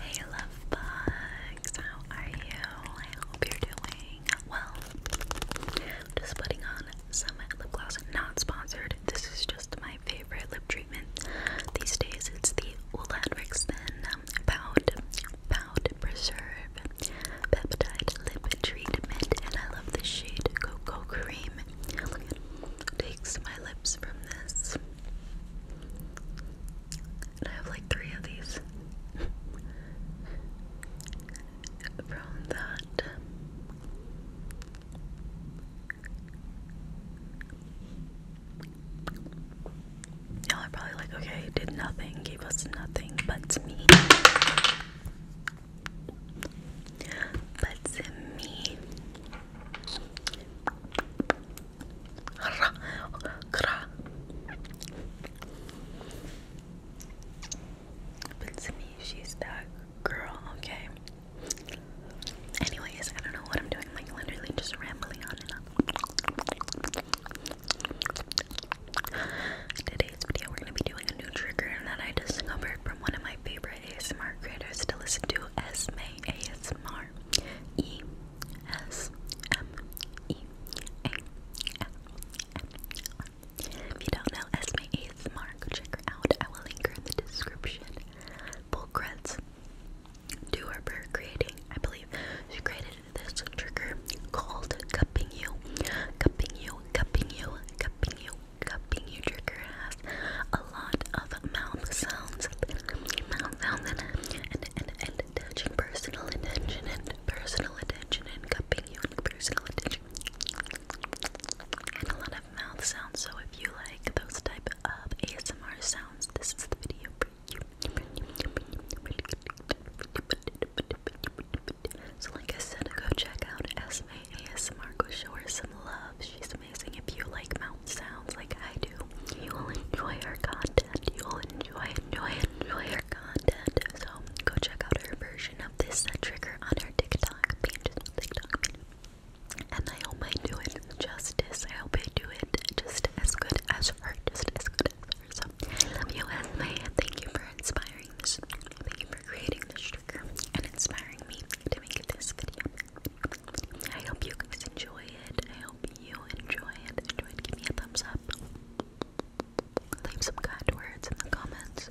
Hey love bugs, how are you? I hope you're doing well. Just putting on some lip gloss, not sponsored. This is just my favorite lip treatment these days. It's the Ola Then um, Pound Preserve Peptide Lip Treatment, and I love the shade Cocoa Cream. takes my lips from this and I have like three of these from that. Y'all are probably like, okay, did nothing, gave us nothing but me. But me. But to me, she's that girl, okay? Anyways, I don't know what I'm doing. Like, literally just rambling on and on. Today's video, we're gonna be doing a new trigger that I discovered from one of my favorite ASMR creators to listen to Esme ASMR. E S M E A S M R. If you don't know Esme ASMR, go check her out. I will link her in the description. Bullcreds do her for creating, I believe she created this trigger called Cupping You. Cupping You, Cupping You, Cupping You, cupping your trigger has a lot of mouth sounds, mouth sounds, and, and, and, and personal attention, and personal attention, and cupping you and personal and a lot of mouth sounds. So if you like those type of ASMR sounds, this is the video for you. So like I said, go check out Esme Go show her some love. She's amazing. If you like mouth sounds like I do, you will enjoy her content. You will enjoy, enjoy, enjoy her content. So go check out her version of this trigger on her TikTok page. TikTok And I hope I do it justice. I hope I do it just as good as her. as good as her. I love you, Esme. Thank you for inspiring this. Thank you for creating this trigger and inspiring me to make this video. I hope you guys enjoy it. I hope you enjoy it. Enjoy it. Give me a thumbs up. Leave some kind words in the comments.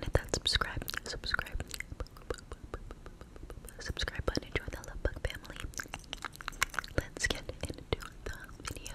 hit that subscribe, subscribe, subscribe button. Enjoy the Love family. Let's get into the video.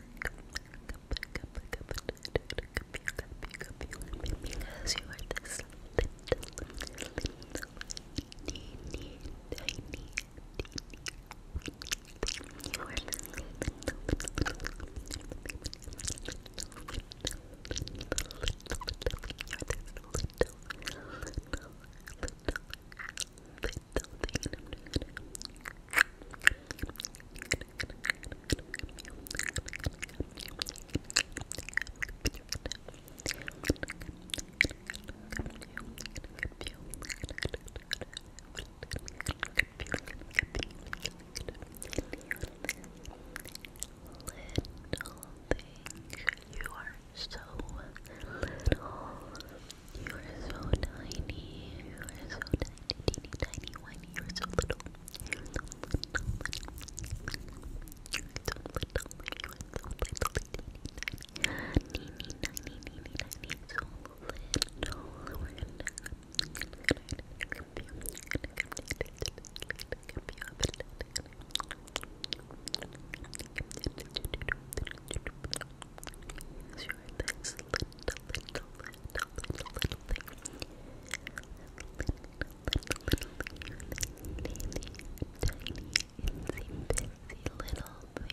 Because you are this little, little thing you are so little. You are so tiny. You are so tiny, teeny tiny one. You are so little. so little. so little. You are so little, teeny tiny. So little. Use your little, little, little, little, little thing. Little, little, little, little, tiny, tiny, insy, busy little thing. Or this little thing.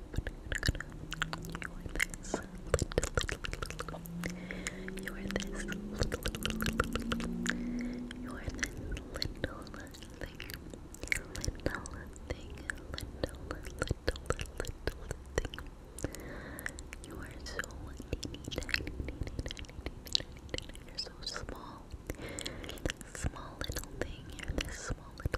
you are this little, you are this little thing, little thing, little, little, little thing. You are so teeny tiny, teeny tiny, tiny, tiny. You're so small, small little thing. You're this small little.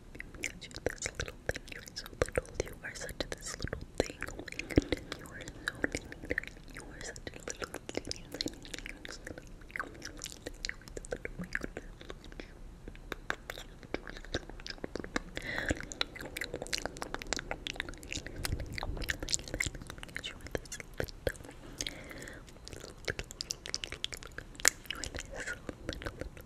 because you're this little thing, you're so little, you are such this little thing, you are so tiny, you are such a little thing,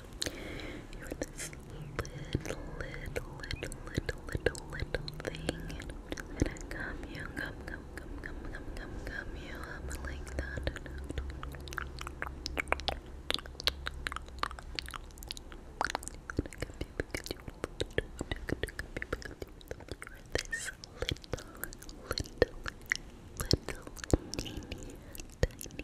You're this little, little, little, little, little, little thing. And I'm just gonna gum you, gum, gum, gum, gum, gum, gum, you up like that. This little, little, little, teeny, tiny,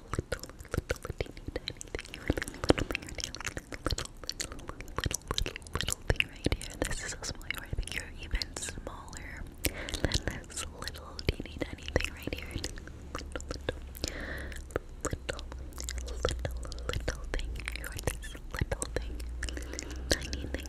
just little, little, little, little little, little, little, little, little thing right here. This is a small, I think you're even smaller than this little tiny, tiny thing right here. Little, little, little, little, little thing. You're this little thing, tiny thing.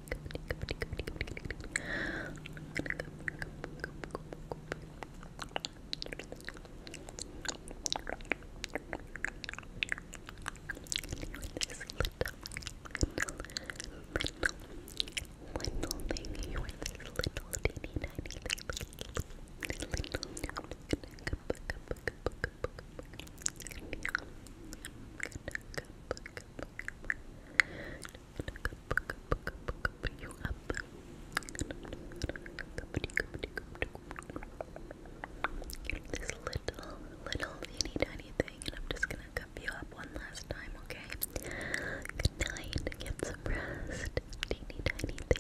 little thing you were this little teeny tiny thing little, little, little, this little, little teeny tiny thing, and I'm just gonna cup you up one last time, okay? Good night, get some rest, teeny tiny thing.